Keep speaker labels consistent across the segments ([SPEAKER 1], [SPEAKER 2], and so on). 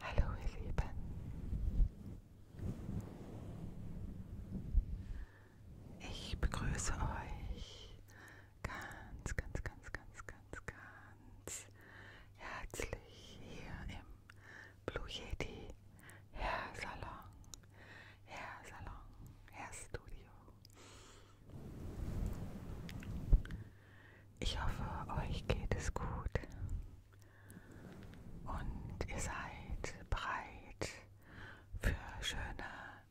[SPEAKER 1] Hallo ihr Lieben. Ich begrüße euch ganz, ganz, ganz, ganz, ganz, ganz herzlich hier im Blue Yeti Hair Salon, Hair Salon, Hair Studio. Ich hoffe, euch geht es gut und ihr seid bereit für schöne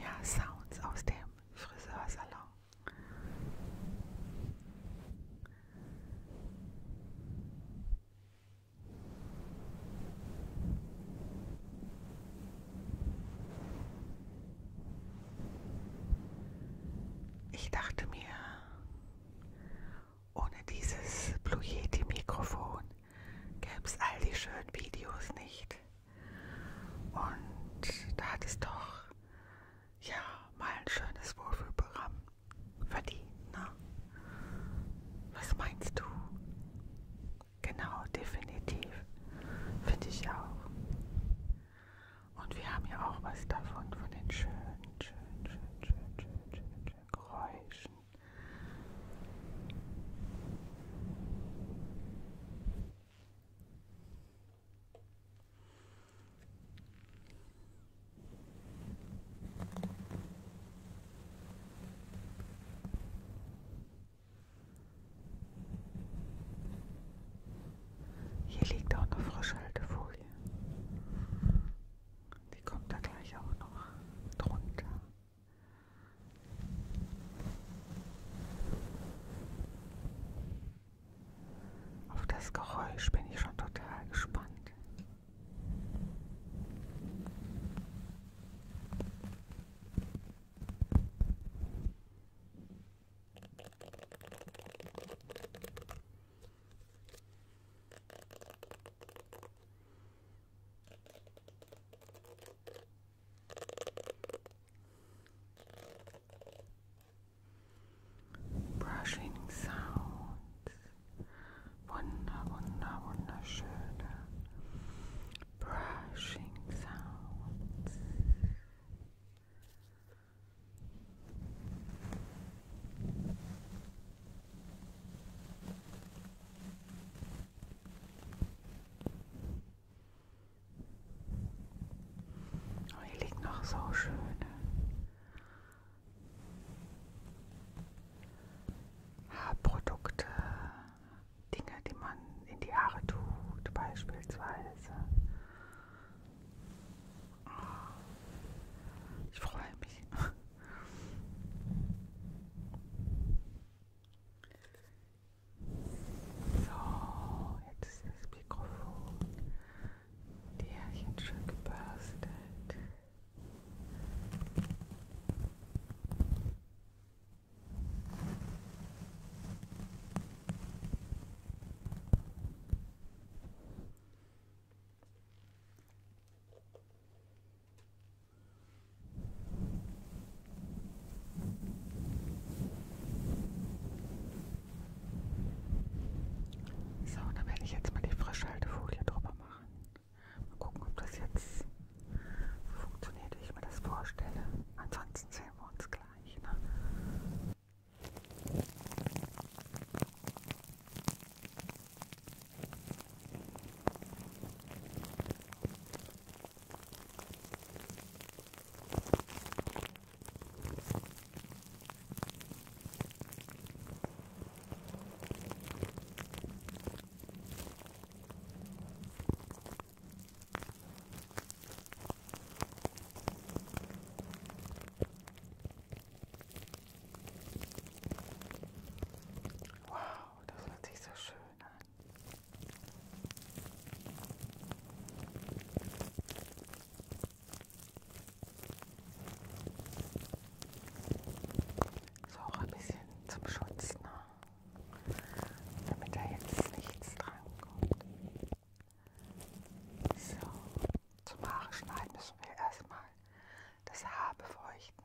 [SPEAKER 1] ja, Sounds aus dem Friseursalon. Ich dachte mir, ohne dieses Blue Yeti Mikrofon gäbe es all die schönen Videos nicht. Und da hat es doch ja mal ein schönes Wohlfühlprogramm verdienen. Ne? Was meinst du? Genau, definitiv. Finde ich auch. Und wir haben ja auch was davon, von den schönen, schönen, schönen, schönen, schönen, schönen, schönen Geräuschen. Hier liegt auch eine Frischhaltefolie. Die kommt da gleich auch noch drunter. Auf das Geräusch bin ich schon total gespannt. brushing sounds, wunder, wunder, wunderschöne brushing sounds. Und oh, hier liegen noch so schöne ne? Haarprodukte, Dinge, die man in die Haare tut, beispielsweise. Oh, ich freue mich. So, jetzt ist das Mikrofon die Härchen schön gebürstelt. Jetzt so, da werde ich jetzt mal die Frischhaltefolie drüber machen. Mal gucken, ob das jetzt funktioniert, wie ich mir das vorstelle. Ansonsten sehen wir uns gleich. Ne? Wow, das hört sich so schön an. So auch ein bisschen zum Schutz, ne? damit da jetzt nichts dran kommt. So, zum Haare schneiden müssen wir erstmal das Haar befeuchten.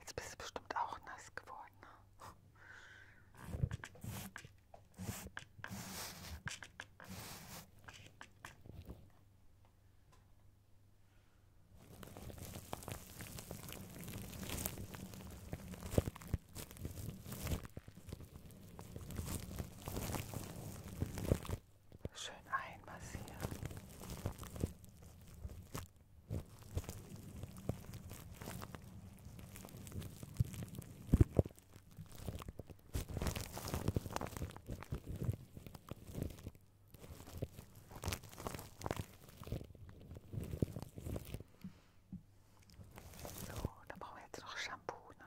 [SPEAKER 1] Jetzt bist du bestimmt auch nass geworden. Ne? Schön einmassieren. So, da brauchen wir jetzt noch Shampoo, ne?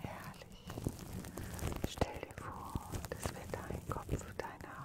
[SPEAKER 1] Herrlich. Stell dir vor, das wird dein Kopf deiner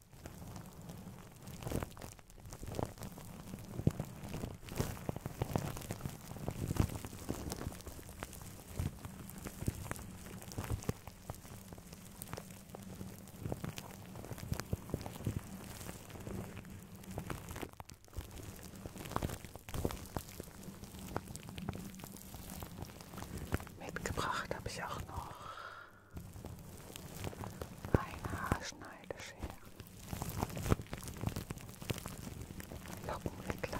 [SPEAKER 1] Mitgebracht habe ich auch noch eine Haarschneideschere, Lockenwickler,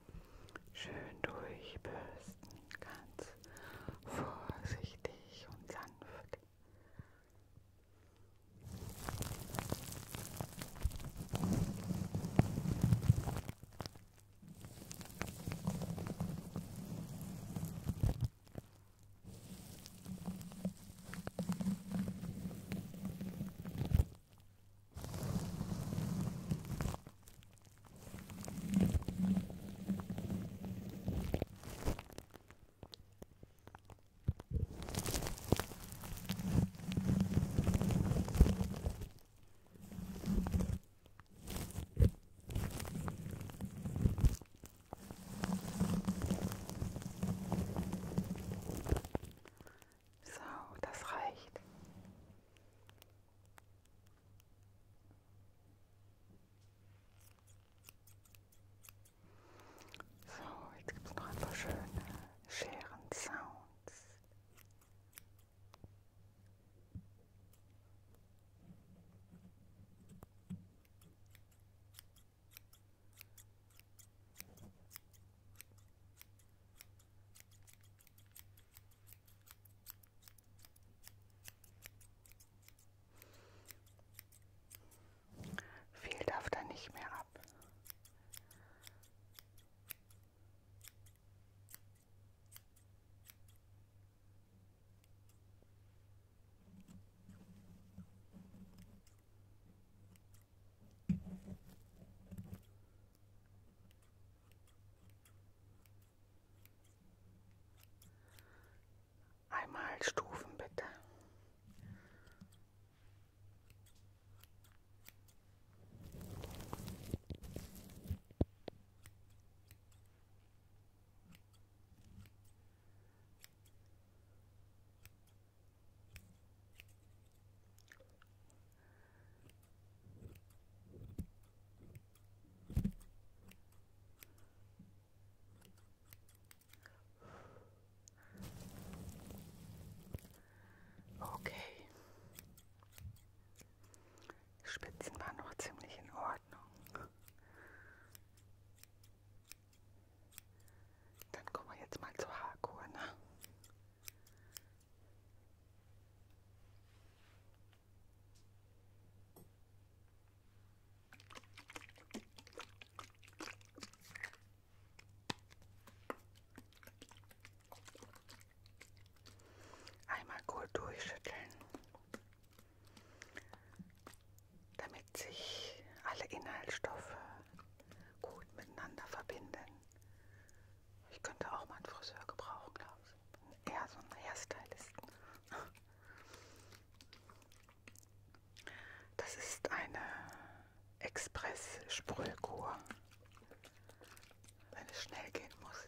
[SPEAKER 1] Schön durchbürsten, ganz vorsichtig und sanft. So, das reicht. So, jetzt gibt es noch ein paar schöne Scheren-Sounds. Viel darf da nicht mehr ab. Einmal Stufen bitte. Okay. Die Spitzen waren noch ziemlich in Ordnung. Dann kommen wir jetzt mal zur Haarkur, ne? Einmal gut durchschütteln, damit sich alle Inhaltsstoffe gut miteinander verbinden. Ich könnte auch mal einen Friseur gebrauchen, glaube ich eher so ein Hairstylisten. Das ist eine Express-Sprühkur, wenn es schnell gehen muss.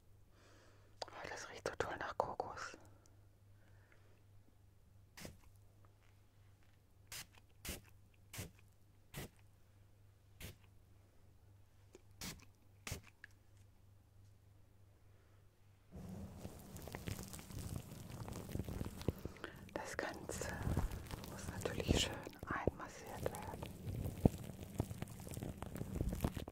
[SPEAKER 1] Oh, das riecht so toll nach Kokos. Das Ganze muss natürlich schön einmassiert werden.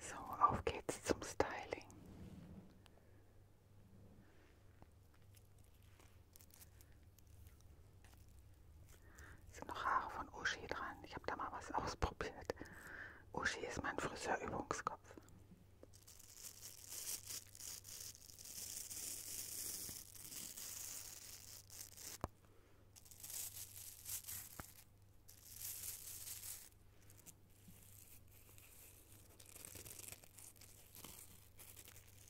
[SPEAKER 1] So, auf geht's zum Styling. Sind noch Haare von Uschi dran. Ich habe da mal was ausprobiert. Uschi ist mein Friseurübungskopf.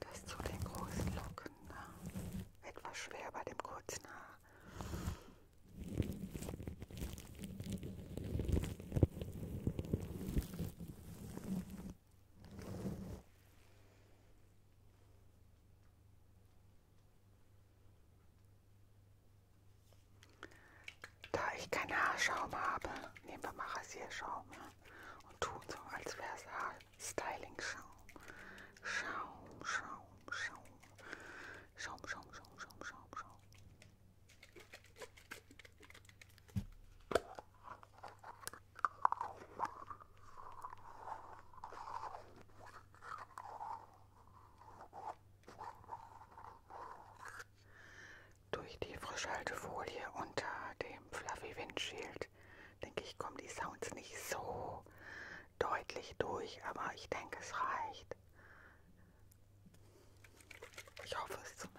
[SPEAKER 1] Das zu den großen Locken. Ne? Etwas schwer bei dem kurzen Haar. Da ich keine Haarschaum habe, nehmen wir mal Rasierschaum. Ja? Ne? und tun so, als wäre es Styling-Schaum. Schaum, Schaum, Schaum. Schaum, Schaum, Schaum, Schaum, Schaum, Schaum. Durch die Frischhaltefolie unter dem Fluffy Windschild, denke ich, kommen die Sounds nicht so deutlich durch, aber ich denke, es reicht. Ich hoffe es zumindest.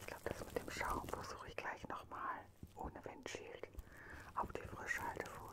[SPEAKER 1] Ich glaube, das mit dem Schaum versuche ich gleich nochmal ohne Windschild auf die Frischhaltefolie.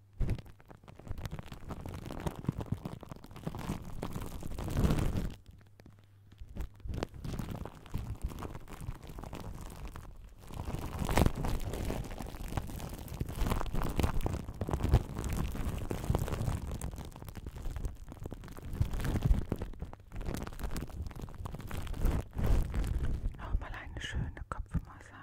[SPEAKER 1] Nochmal eine schöne Kopfmassage.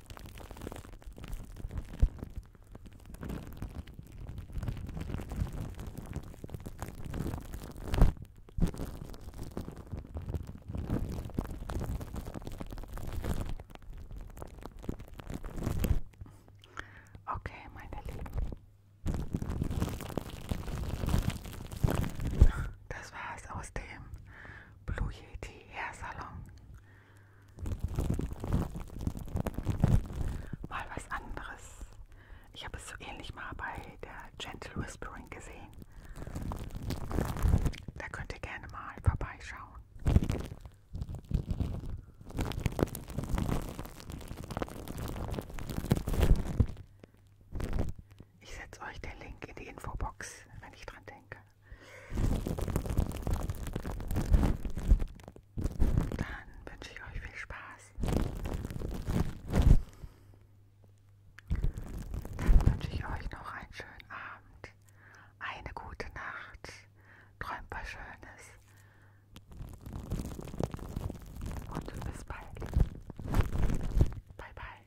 [SPEAKER 1] Okay, meine Lieben. Das war's aus dem Blue Yeti Hair Salon. Mal was anderes. Ich habe es so ähnlich mal bei der Gentle Whispering gesehen. Da könnt ihr gerne mal vorbeischauen. Ich setze euch den Link in die Infobox, wenn ich dran denke. Dann wünsche ich euch viel Spaß. Dann wünsche ich euch noch einen schönen Abend, eine gute Nacht, träumt was Schönes und bis bald. Bye bye.